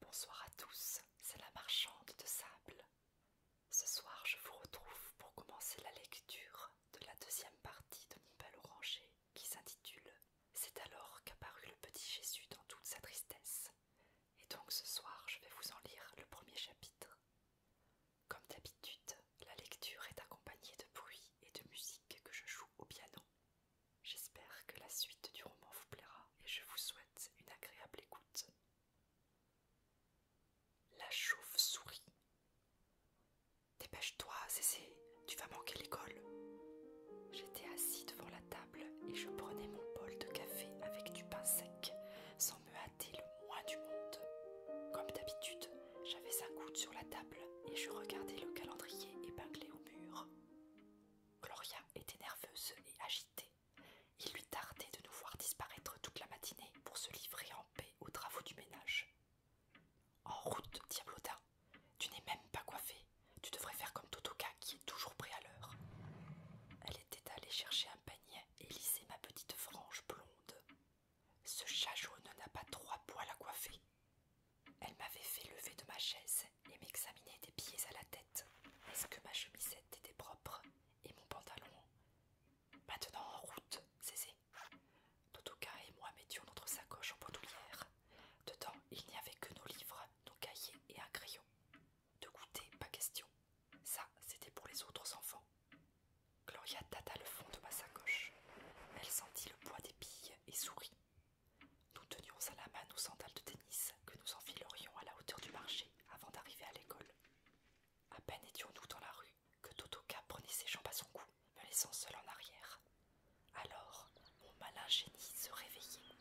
Bonsoir à tous, c'est la marchande de sable. Ce soir, je vous retrouve pour commencer la lecture de la deuxième partie de Mon bel oranger qui s'intitule C'est alors qu'apparut le petit Jésus dans toute sa tristesse. Et donc ce soir, je vais vous en lire le premier chapitre. Comme d'habitude, la lecture est accompagnée de bruits et de musique que je joue au piano. J'espère que la suite du roman vous plaira et je vous souhaite une agréable écoute. La chauve-souris. Dépêche-toi, Cécé, tu vas manquer l'école. J'étais assise devant la table et je prenais mon bol de café avec du pain sec, me hâter le moins du monde. Comme d'habitude, j'avais un coude sur la table et je regardais le calendrier épinglé au mur. Gloria était nerveuse et agitée. Il lui tardait de nous voir disparaître toute la matinée pour se livrer en paix aux travaux du ménage. En route, Diablotin, tu n'es même pas coiffé. Tu devrais faire comme Totoka qui est toujours prêt à l'heure. Elle était allée chercher un panier et lisser ma petite frange blonde ce chat jaune n'a pas trois poils à coiffer. Elle m'avait fait lever de ma chaise et m'examiner des pieds à la tête. Est-ce que ma chemisette était propre et mon pantalon Maintenant en route, zé Totoka et moi mettions notre sacoche en potoulière Dedans, il n'y avait que nos livres, nos cahiers et un crayon. De goûter, pas question. Ça, c'était pour les autres enfants. Gloria tâta le fond de ma sacoche. Elle sentit le poids des billes et sourit. Nous tenions à la main nos sandales de tennis que nous enfilerions à la hauteur du marché avant d'arriver à l'école. À peine étions-nous dans la rue que Totoka prenait ses jambes à son cou, me laissant seul en arrière. Alors, mon malin génie se réveillait.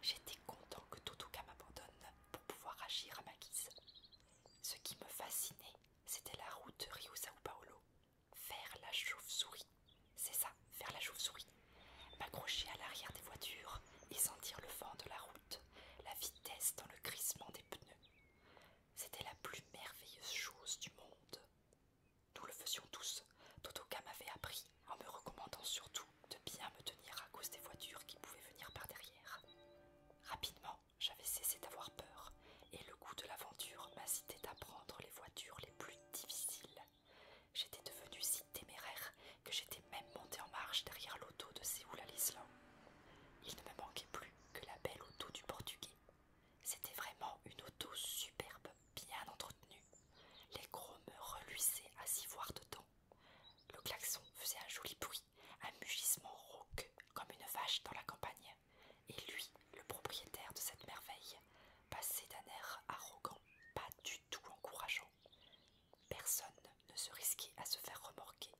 J'étais content que Totoka m'abandonne pour pouvoir agir à ma guise. Ce qui me fascinait, c'était la route Rio Sao Paulo. Faire la chauve-souris. C'est ça, faire la chauve-souris. M'accrocher à l'arrière des voitures et sentir le vent de la route, la vitesse dans le crissement des pneus. C'était la plus merveilleuse chose du monde. Nous le faisions tous. Totoka m'avait appris en me recommandant surtout de bien me tenir à cause des voitures qui pouvaient venir par derrière. Rapidement, j'avais cessé d'avoir peur, et le goût de l'aventure m'incitait à prendre les voitures les plus difficiles. J'étais devenu si téméraire que j'étais même monté en marche derrière l'auto de Séoul à l'Islande. Il ne me manquait plus que la belle auto du portugais. C'était vraiment une auto superbe, bien entretenue. Les gros me reluisaient à s'y voir dedans, le klaxon faisait un joli bruit, un mugissement rauque comme une vache dans la campagne, et lui, le propriétaire de cette merveille, passait d'un air arrogant, pas du tout encourageant. Personne ne se risquait à se faire remorquer.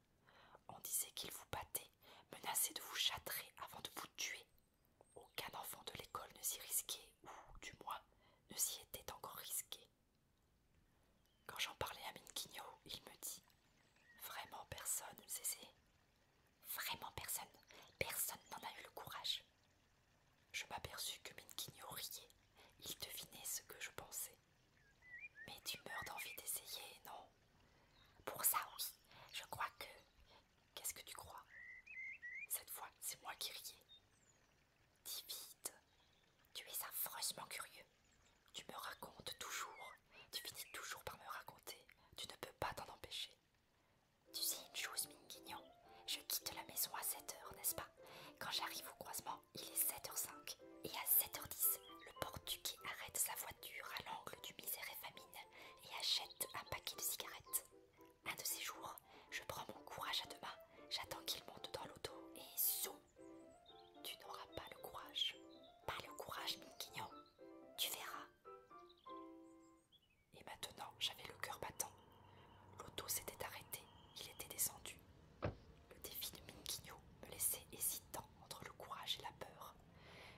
On disait qu'il vous battait, menaçait de vous châtrer avant de vous tuer. Aucun enfant de l'école ne s'y risquait, ou du moins ne s'y était encore risqué. Quand j'en parlais à Minquino, il me dit Vraiment personne, c'est Vraiment personne. Personne n'en a eu le courage. Je m'aperçus que Minquigno riait. Il devinait ce que je pensais. Mais tu meurs d'envie d'essayer, non Pour ça, Je crois que. Qu'est-ce que tu crois Cette fois, c'est moi qui riais. Divide, tu es affreusement curieux. Tu me racontes toujours, tu finis toujours par me raconter, tu ne peux pas t'en empêcher. Tu sais une chose, Minguignan, je quitte la maison à 7 heures, n'est-ce pas Quand j'arrive au croisement, il est 7h05, et à 7h10, le portugais arrête sa voiture à l'angle du misère et famine et achète un paquet de cigarettes. Un de ces jours, je prends mon courage à deux mains, j'attends qu'il monte dans l'auto et zoom tu n'auras pas le courage. Pas le courage, Minguignon. Tu verras. Et maintenant, j'avais le cœur battant. L'auto s'était arrêté, il était descendu. Le défi de Minkino me laissait hésitant entre le courage et la peur.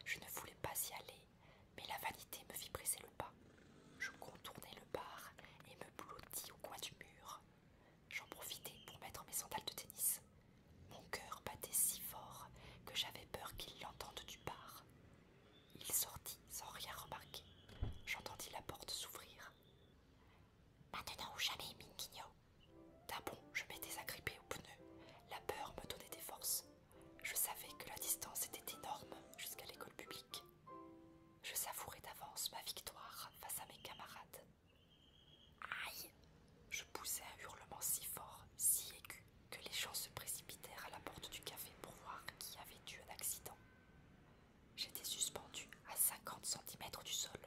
Je ne voulais pas y aller, mais la vanité me fit presser le pas. Je contournai le bar et me blottis au coin du mur. J'en profitais pour mettre mes sandales de tennis. Mon cœur battait si fort que j'avais peur qu'il l'entende du bar. Il sortit sans rien remarquer. J'entendis la porte s'ouvrir. Maintenant ou jamais, Minguigno. D'un je m'étais agrippée au pneu. La peur me donnait des forces. Je savais que la distance était énorme jusqu'à l'école publique. Je savourais d'avance ma victoire face à mes camarades. Aïe Je poussai un hurlement si fort, si aigu, que les gens se précipitèrent à la porte du café pour voir qui avait eu un accident. J'étais suspendu à 50 cm du sol.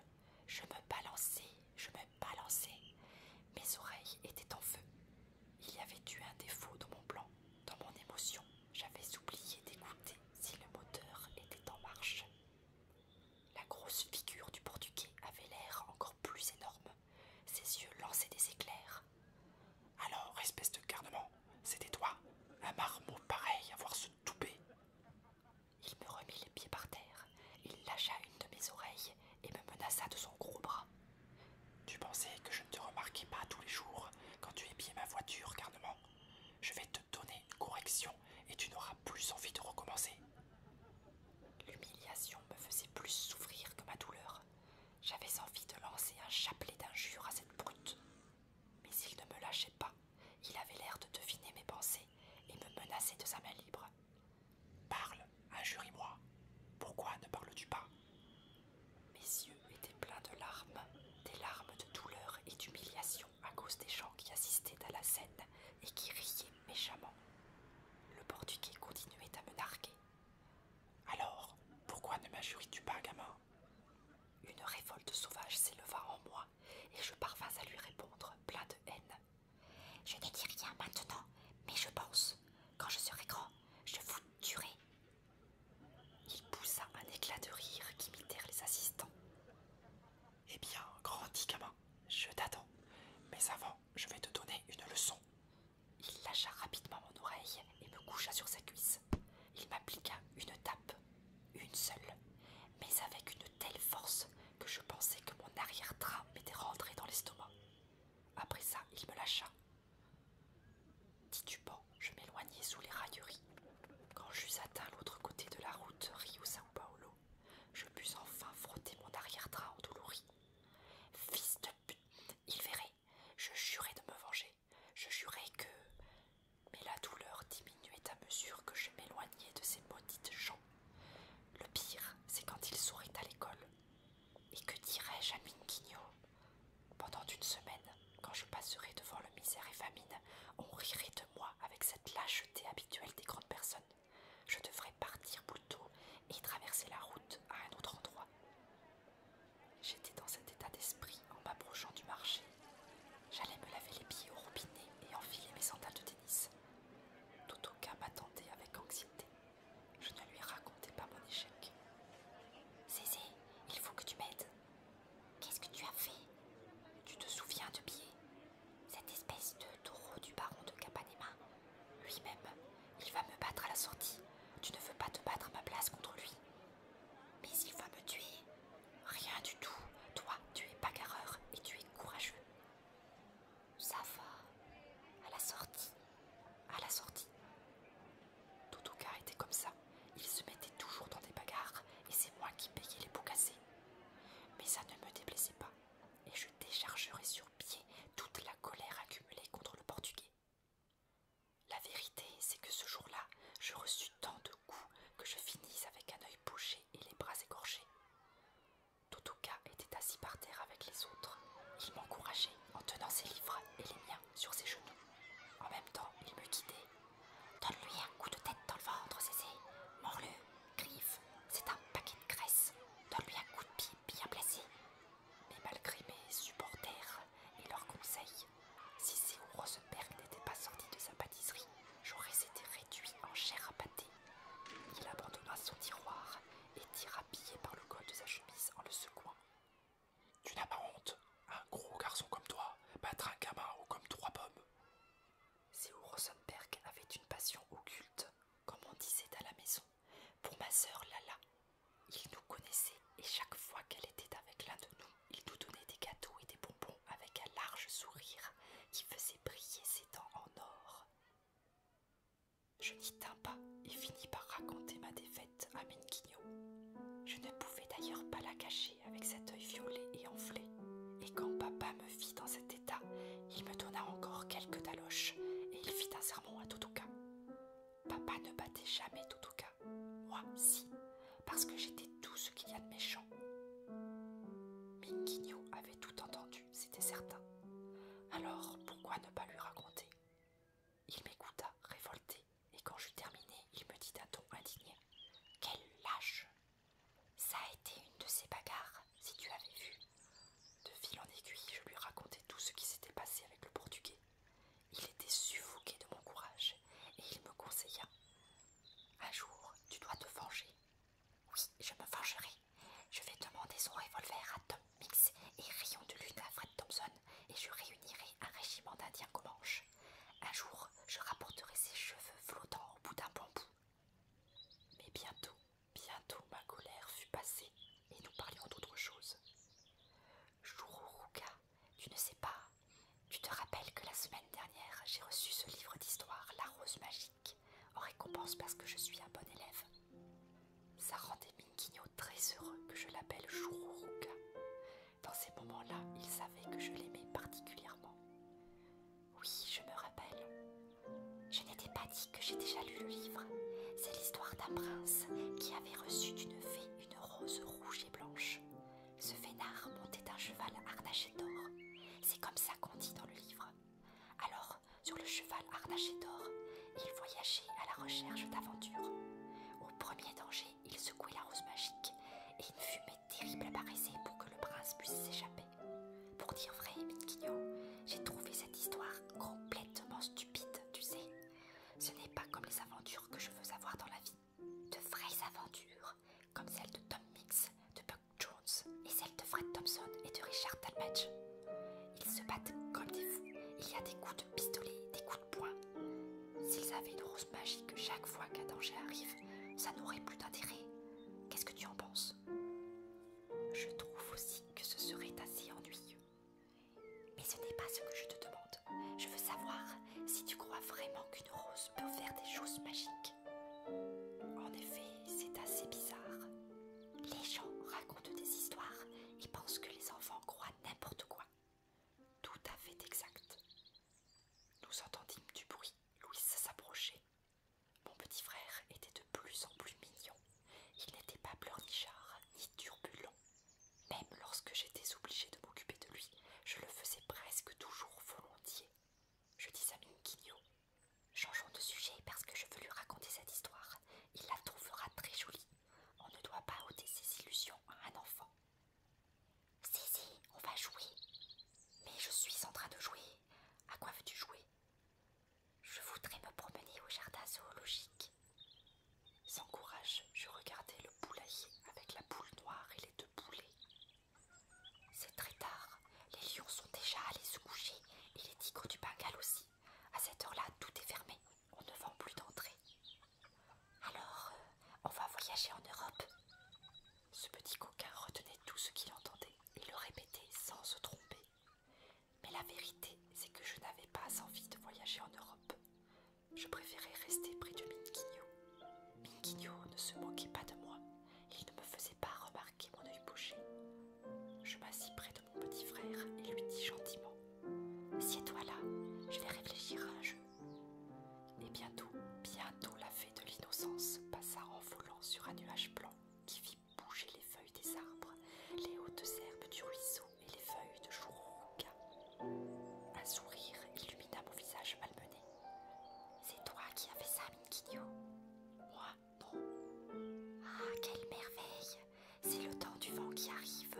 Je me balançais, je me balançais. Mes oreilles étaient en feu. Il y avait eu un défaut dans mon plan, dans mon émotion. J'avais oublié d'écouter si le moteur était en marche. La grosse figure du portugais avait l'air encore plus énorme. Ses yeux lançaient des éclairs. Alors, espèce de carnement, c'était toi, un marmot pareil à voir se touper. Il me remit les pieds par terre, il lâcha une de mes oreilles et me menaça de son gros bras. Tu pensais que je ne te remarquais pas tous les jours quand tu épiais ma voiture, carnement je vais te donner une correction et tu n'auras plus envie de recommencer. L'humiliation me faisait plus souffrir que ma douleur. J'avais envie de lancer un chapelet d'injures à cette brute. Mais il ne me lâchait pas. Il avait l'air de deviner mes pensées et me menaçait de sa main libre. Parle, injurie-moi. Pourquoi ne parles-tu pas mes yeux étaient pleins de larmes, des larmes de douleur et d'humiliation à cause des gens qui assistaient à la scène et qui riaient méchamment. Le portugais continuait à me narguer. Alors, pourquoi ne majuris tu pas, gamin Une révolte sauvage s'éleva en moi et je parvins à lui répondre, plein de haine. Je ne dis rien maintenant, mais je pense, quand je serai grand, je vous tuerai il poussa un éclat de rire qui qu'imitèrent les assistants. Eh bien, grand gamin, je t'attends. Mais avant, je vais te donner une leçon. Il lâcha rapidement mon oreille et me coucha sur sa cuisse. Il m'appliqua une tape, une seule, mais avec une telle force que je pensais que mon arrière-train m'était rentré dans l'estomac. Après ça, il me lâcha, Titubant, je m'éloignais sous les railleries. Quand j'eus atteint l'autre côté de la route Rio-Sao Paulo, je pus enfin frotter mon arrière-train douloureux. Fils de pute Il verrait Je jurais de me venger. Je jurais que. Mais la douleur diminuait à mesure que je m'éloignais de ces maudites gens. Le pire, c'est quand ils sourit à l'école. Et que dirais-je à pendant une semaine, quand je passerai devant le misère et famine, on rirait de moi avec cette lâcheté habituelle des grandes personnes. Je devrais partir plus tôt et traverser la route à un autre endroit. J'étais dans cet état d'esprit en m'approchant du marché. J'allais me laver les pieds au robinet et enfiler mes sandales de tennis. Totoka m'attendait avec anxiété. Je ne lui racontais pas mon échec. Zézé, il faut que tu m'aides. Qu'est-ce que tu as fait Tu te souviens de Pierre Cette espèce de taureau du baron de Capanema. Lui-même, il va me battre à la sortie. Tu ne veux pas te battre à ma place contre lui. Mais il va me tuer. Rien du tout. Toi, tu es bagarreur et tu es courageux. Ça va. À la sortie. À la sortie. Totoka était comme ça. Il se mettait toujours dans des bagarres et c'est moi qui payais les pots cassés. Mais ça ne me déplaisait pas et je déchargerais sur pied toute la colère accumulée contre le portugais. La vérité, c'est que ce jour-là, je reçus tant de coups que je finis avec un œil bouché et les bras écorchés. Totoka était assis par terre avec les autres. Il m'encourageait en tenant ses livres et les miens sur ses genoux. En même temps, il me guidait. Donne-lui un coup de tête dans le ventre, Mors-le, griffe, c'est un paquet de graisse. Donne-lui un coup de pied bien placé. Mais malgré mes supporters et leurs conseils, si ces perles n'était pas sorti de sa pâtisserie, j'aurais été réduit en chair à pâté. Il abandonna son tiroir et tira billet par le col de sa chemise en le secouant. Tu n'as pas honte Un gros garçon comme toi, battre un gamin comme trois pommes. Si Rosenberg avait une passion occulte, comme on disait à la maison, pour ma sœur Lala, il nous connaissait et chaque fois qu'elle était avec l'un de nous, il nous donnait des gâteaux et des bonbons avec un large sourire qui faisait briller ses dents en or. Je n'y tins pas et finis par raconter ma défaite à Minkino. Je ne pouvais d'ailleurs pas la cacher avec cet œil violet et enflé, et quand papa me fit dans cet état, il me donna encore quelques taloches, et il fit un sermon à Totoka. Papa ne battait jamais Totoka. moi si, parce que j'étais tout ce qu'il y a de méchant. Minkino avait tout entendu, c'était certain. Alors pourquoi ne pas lui raconter il m'écouta, révolté, et quand j'eus terminé, il me dit d'un ton indigné Quel lâche Ça a été une de ces bagarres, si tu avais vu. De fil en aiguille, je lui racontais tout ce qui s'était passé avec le portugais. Il était suffoqué de mon courage, et il me conseilla Un jour, tu dois te venger. Oui, je me vengerai. Je vais demander son revolver à Tom mix et rayons de lune à Fred Thompson et je réunirai un régiment d'indiens comanches. Un jour, je rapporterai ses cheveux flottants au bout d'un bambou. Mais bientôt, bientôt ma colère fut passée et nous parlions d'autre chose. Chourouka, tu ne sais pas, tu te rappelles que la semaine dernière j'ai reçu ce livre d'histoire, La Rose Magique, en récompense parce que je suis un bon élève. Ça rendait Minkinyo très heureux que je l'appelle jourouka Dans ces moments-là, il savait que je l'aimais particulièrement. Oui, je me rappelle. Je n'étais pas dit que j'ai déjà lu le livre. C'est l'histoire d'un prince qui avait reçu d'une fée une rose rouge et blanche. Ce fénard montait un cheval harnaché d'or. C'est comme ça qu'on dit dans le livre. Alors sur le cheval harnaché d'or, il voyageait à la recherche d'aventures. Au premier danger, il secouait la rose magique, et une fumée terrible apparaissait pour que le prince puisse s'échapper. Pour dire vrai, Mitquignon, j'ai trouvé cette histoire complètement stupide, tu sais. Ce n'est pas comme les aventures que je veux avoir dans la vie. De vraies aventures, comme celles de Tom Mix, de Buck Jones, et celles de Fred Thompson et de Richard Talmadge. Ils se battent comme des fous. Il y a des coups de pistolet, des coups de poing. S'ils avaient une rose magique chaque fois qu'un danger arrive, ça n'aurait plus d'intérêt. Qu'est-ce que tu en penses Je trouve aussi que ce serait assez ennuyeux. Mais ce n'est pas ce que je te demande. Je veux savoir si tu crois vraiment qu'une rose peut faire des choses magiques. En effet, c'est assez bizarre. Les gens racontent des histoires et pensent que les enfants croient n'importe quoi. Tout à fait exact. Nous entendîmes du bruit, Louise s'approchait. Mon petit frère était de plus en plus mignon. Il n'était pas pleurnichard ni turbulent. Même lorsque j'étais obligée de m'occuper de lui, je le faisais presque toujours volontiers. Je dis à Minguinho Changeons de sujet parce que je veux lui raconter cette histoire. Il la trouvera très jolie. On ne doit pas ôter ses illusions à un enfant. Si, si, on va jouer. Mais je suis en train de jouer. À quoi veux-tu jouer Je voudrais me promener au jardin zoologique. Sans courage, je regardais le poulailler avec la boule noire et les deux poulets. C'est très tard. Les lions sont déjà allés se coucher et les tigres du Bengale aussi. À cette heure-là, tout est fermé. On ne vend plus d'entrée. Alors, euh, on va voyager en Europe. Ce petit coquin retenait tout ce qu'il entendait et le répétait sans se tromper. Mais la vérité, c'est que je n'avais pas envie de voyager en Europe. Je préférais rester près de Minkinho. » Minkinho ne se moquait pas de moi. Il ne me faisait pas remarquer mon œil bouché. Je m'assis près de mon petit frère et lui dis gentiment Sieds-toi là, je vais réfléchir à un jeu. Et bientôt, bientôt la fée de l'innocence passa en volant sur un nuage blanc qui fit bouger les feuilles des arbres, les hautes herbes du ruisseau et les feuilles de chourouka. Un sourire illumina mon visage malmené. C'est toi qui as fait ça, Minkinio ah, quelle merveille C'est le temps du vent qui arrive.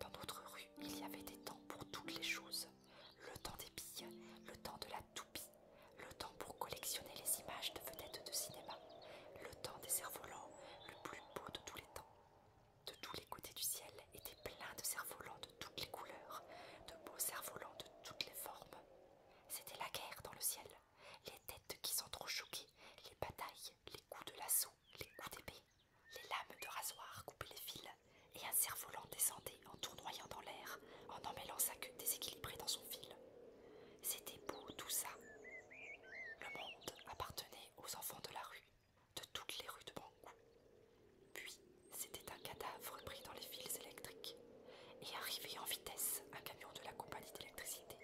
Dans notre rue, il y avait des temps pour toutes les choses. Le temps des billes, le temps de la toupie, le temps pour collectionner les images de vedettes de cinéma, le temps des cerfs-volants, le plus beau de tous les temps. De tous les côtés du ciel étaient pleins de cerfs-volants de toutes les couleurs, de beaux cerfs-volants de toutes les formes. C'était la guerre dans le ciel les têtes qui sont trop choquées, les batailles, les coups de lasso, les coups d'épée, les lames de rasoir coupaient les fils, et un cerf-volant descendait en tournoyant dans l'air, en emmêlant sa queue déséquilibrée dans son fil. C'était beau tout ça. Le monde appartenait aux enfants de la rue, de toutes les rues de Bangkok. Puis, c'était un cadavre pris dans les fils électriques et arrivait en vitesse un camion de la compagnie d'électricité.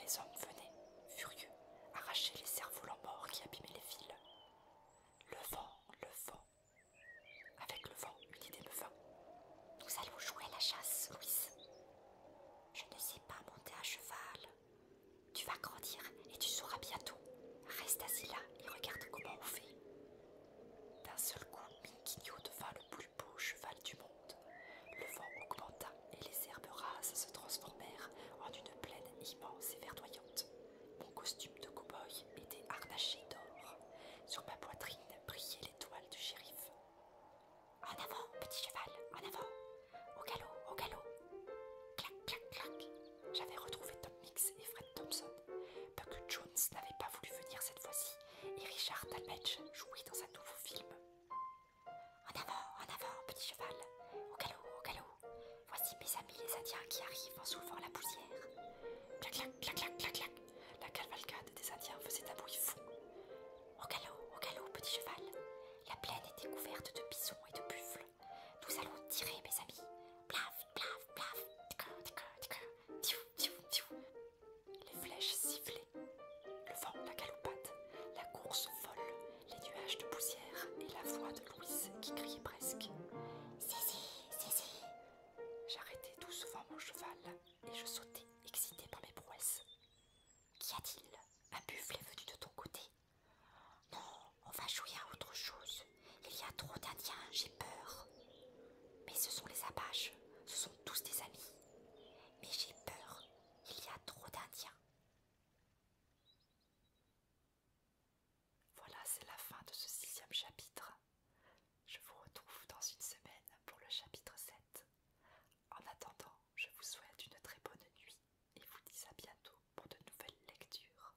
Les hommes venaient, furieux, arracher les cerveaux volants morts qui abîmaient les fils. Le vent, le vent. Avec le vent, une idée me vint. Nous allons jouer à la chasse, Louise. Je ne sais pas monter à cheval. Tu vas grandir et tu sauras bientôt. Reste assis là et regarde comment on fait. D'un seul coup, de devint le beau cheval du monde. Le vent augmenta et les herbes rases se transformèrent en une plaine immense et verdoyante. Mon costume de cow-boy était harnaché d'or. Sur ma poitrine brillait l'étoile du shérif. En avant, petit cheval, en avant Au galop, au galop Clac, clac, clac J'avais retrouvé Tom Mix et Fred Thompson. Buck Jones n'avait pas voulu venir cette fois-ci et Richard Talmadge joué dans un nouveau film. En avant, en avant, petit cheval, au galop, au galop. Voici mes amis les Indiens qui arrivent en soulevant la poussière. Clac, clac, clac, clac, clac, La cavalcade des Indiens faisait un bruit fou. Au galop, au galop, petit cheval. La plaine était couverte de bisons et de buffles. Nous allons tirer, mes amis. Blaf, blaf, blaf les flèches sifflaient, le vent la galopade, la course folle, les nuages de poussière et la voix de Louise qui criait presque. si, si !» J'arrêtais tout mon cheval et je sautais, excité par mes prouesses. Qu'y a-t-il Un buffle est venu de ton côté Non, on va jouer à autre chose, il y a trop d'Indiens, j'ai peur. Mais ce sont les Apaches, ce sont tous des amis. Mais j'ai peur, il y a trop d'Indiens. Voilà, c'est la fin de ce sixième chapitre. Je vous retrouve dans une semaine pour le chapitre 7. En attendant, je vous souhaite une très bonne nuit et vous dis à bientôt pour de nouvelles lectures.